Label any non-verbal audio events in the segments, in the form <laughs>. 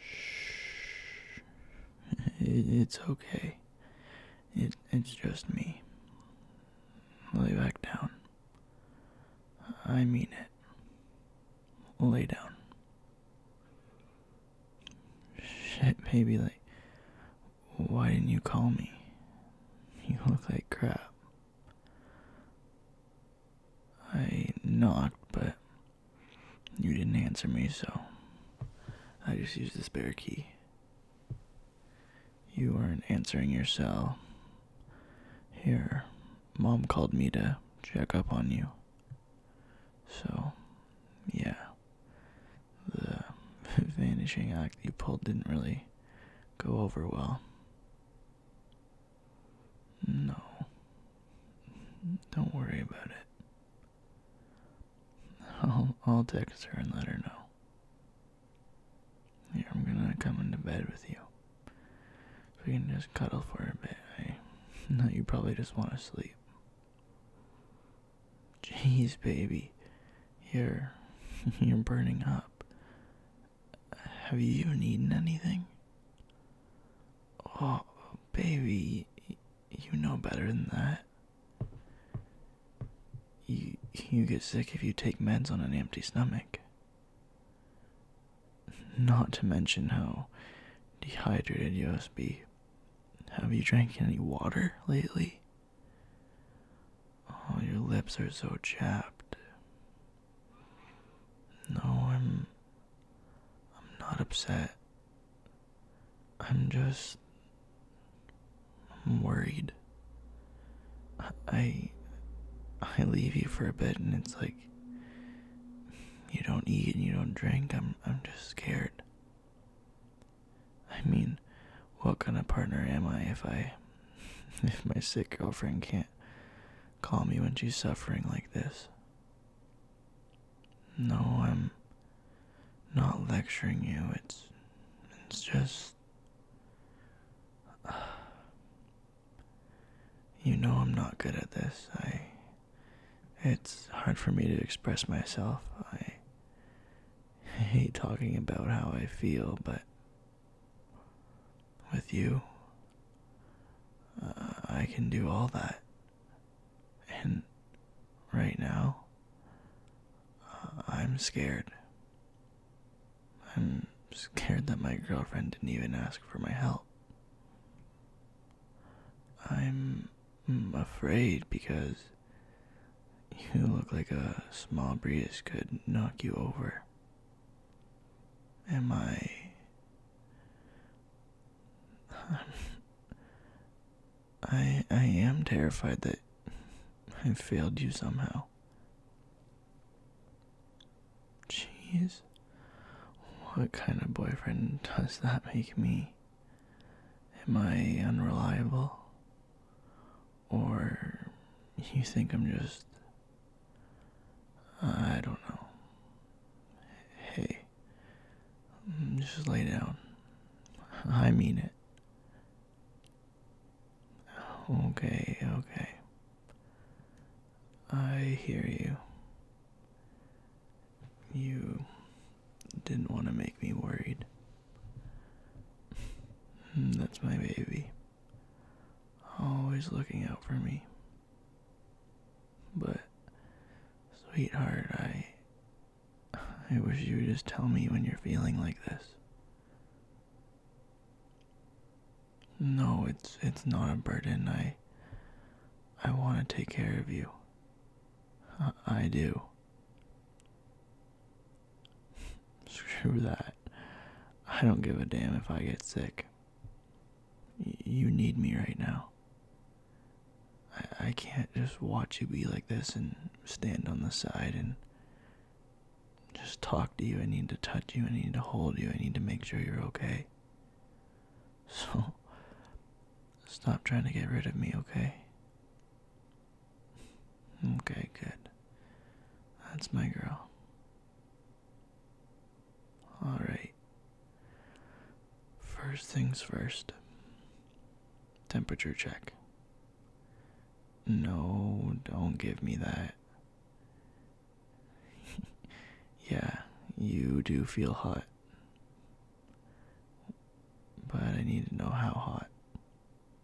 Shh. It's okay. it's just me. Lay back down. I mean it. Lay down. Shit, baby, like, why didn't you call me? You look like crap. I knocked, but you didn't answer me, so I just used the spare key. You weren't answering your cell. Here, mom called me to check up on you. So, yeah. The <laughs> vanishing act you pulled didn't really go over well. No. Don't worry about it. I'll, I'll text her and let her know. Here, I'm gonna come into bed with you. We can just cuddle for a bit. I <laughs> know you probably just want to sleep. Jeez, baby, you're <laughs> you're burning up. Have you even eaten anything? Oh, baby, you know better than that. You you get sick if you take meds on an empty stomach. Not to mention how dehydrated you must be. Have you drank any water lately? Oh, your lips are so chapped. No, I'm I'm not upset. I'm just I'm worried. I I leave you for a bit and it's like you don't eat and you don't drink. I'm I'm just scared. I mean, what kind of partner am I if I <laughs> if my sick girlfriend can't call me when she's suffering like this. No, I'm not lecturing you. It's it's just <sighs> you know I'm not good at this. I it's hard for me to express myself. I <laughs> hate talking about how I feel, but with you, uh, I can do all that. And right now, uh, I'm scared. I'm scared that my girlfriend didn't even ask for my help. I'm mm, afraid because you look like a small breeze could knock you over. Am I. <laughs> I I am terrified that I failed you somehow. Jeez. What kind of boyfriend does that make me? Am I unreliable? Or you think I'm just I don't know. Hey, just lay down. I mean it. Okay, okay. I hear you. You didn't want to make me worried. Hmm, that's my baby always looking out for me. But, sweetheart, I. I wish you would just tell me when you're feeling like this. No, it's it's not a burden. I I want to take care of you. I, do. <laughs> Screw that. I don't give a damn if I get sick. you need me right now. I can't just watch you be like this and stand on the side and just talk to you. I need to touch you. I need to hold you. I need to make sure you're okay. <laughs> So, stop trying to get rid of me, okay? Okay, good. That's my girl. Alright. First things first. Temperature check. No, don't give me that. <laughs> yeah, you do feel hot. But I need to know how hot.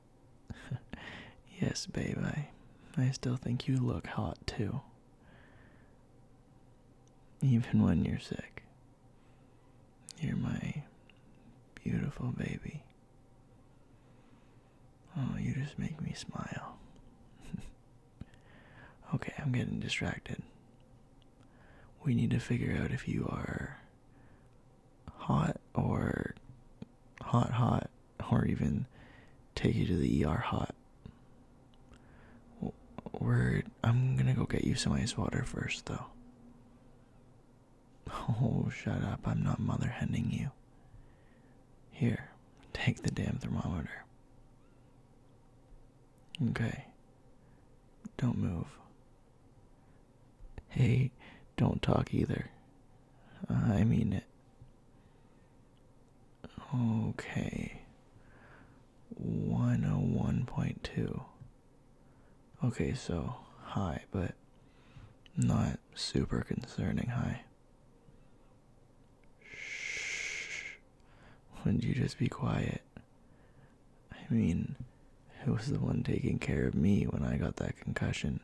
<laughs> yes, babe, I, I still think you look hot too. Even when you're sick. You're my beautiful baby. Oh, you just make me smile. <laughs> okay, I'm getting distracted. We need to figure out if you are hot or hot hot or even take you to the ER hot. I'm gonna go get you some ice water first though. <laughs> Oh, shut up, I'm not mother hending you. Here, take the damn thermometer. Okay, don't move. Hey, don't talk either. I mean it. Okay. 101.2. Okay, so high, but not super concerning high. Shh. Wouldn't you just be quiet? I mean, it was the one taking care of me when I got that concussion?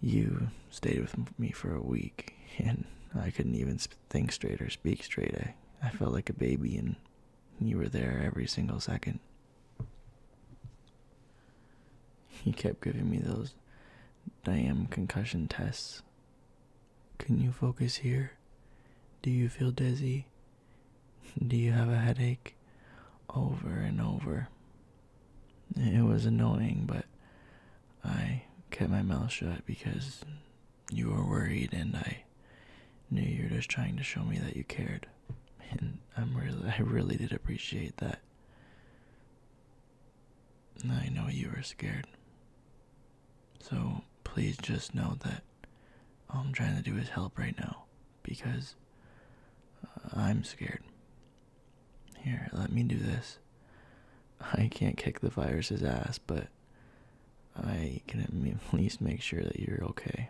You stayed with me for a week, <laughs> and I couldn't even think straight or speak straight. I, felt like a baby, and you were there every single second. He kept giving me those damn concussion tests. Can you focus here? Do you feel dizzy? Do you have a headache? Over and over. It was annoying, but I kept my mouth shut because you were worried and I knew you were just trying to show me that you cared. And I'm really I really did appreciate that. I know you were scared. So please just know that all I'm trying to do is help right now because uh, I'm scared. Here, let me do this. I can't kick the virus's ass, but I can at least make sure that you're okay.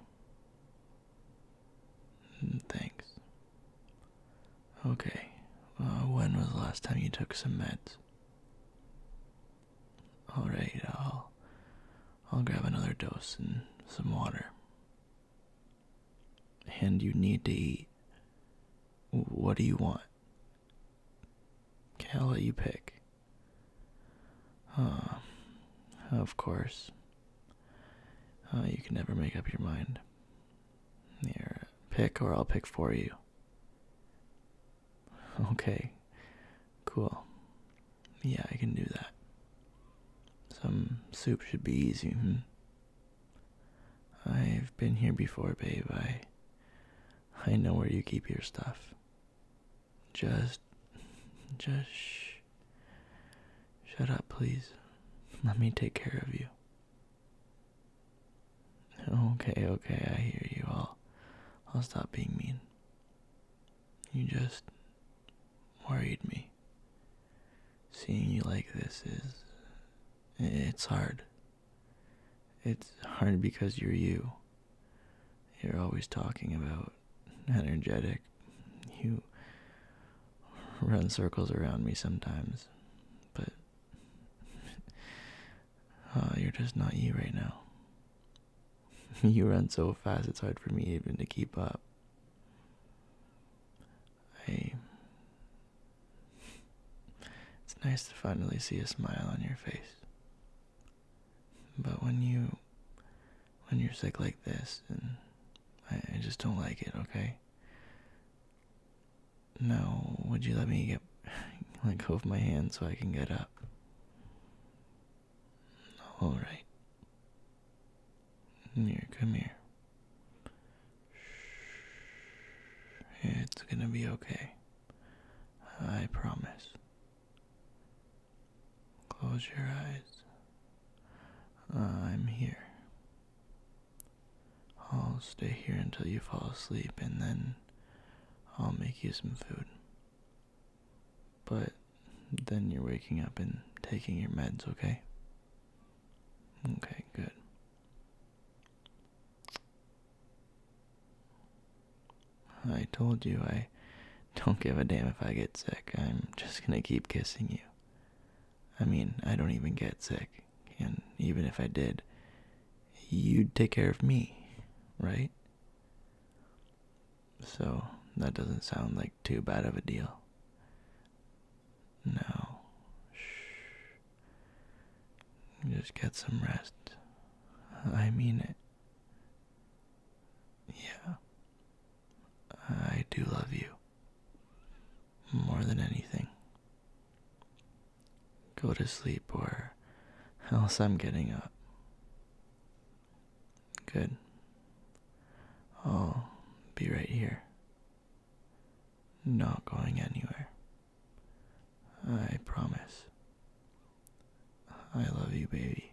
Mm, thanks. Okay, uh, when was the last time you took some meds? All right, I'll I'll grab another dose and some water. And you need to eat. What do you want? Can i let you pick. Huh. Of course. you can never make up your mind. Here, pick or I'll pick for you. Okay, cool. Yeah, I can do that. Some soup should be easy. Hmm? I've been here before, babe. I, I know where you keep your stuff. Just, just shut up, please. Let me take care of you. Okay, okay, I hear you. I'll, I'll stop being mean. You just worried me. Seeing you like this is. It's hard. It's hard because you're you. You're always talking about energetic. You run circles around me sometimes, but uh, you're just not you right now. <laughs> you run so fast, it's hard for me even to keep up. I. <laughs> It's nice to finally see a smile on your face. But when you. When you're sick like this, I, just don't like it, okay? No, would you let me get like hold my hand so I can get up. All right. here, come here. It's gonna be okay. I promise. Close your eyes. I'm here. I'll stay here until you fall asleep and then I'll make you some food. But then you're waking up and taking your meds, okay? Okay, good. I told you I don't give a damn if I get sick. I'm just gonna keep kissing you. I mean, I don't even get sick, and even if I did, you'd take care of me, right? So that doesn't sound like too bad of a deal. No. Shh. Just get some rest. I mean it. Yeah. I do love you. More than anything. Go to sleep, or else I'm getting up. Good. I'll be right here. Not going anywhere. I promise. I love you, baby.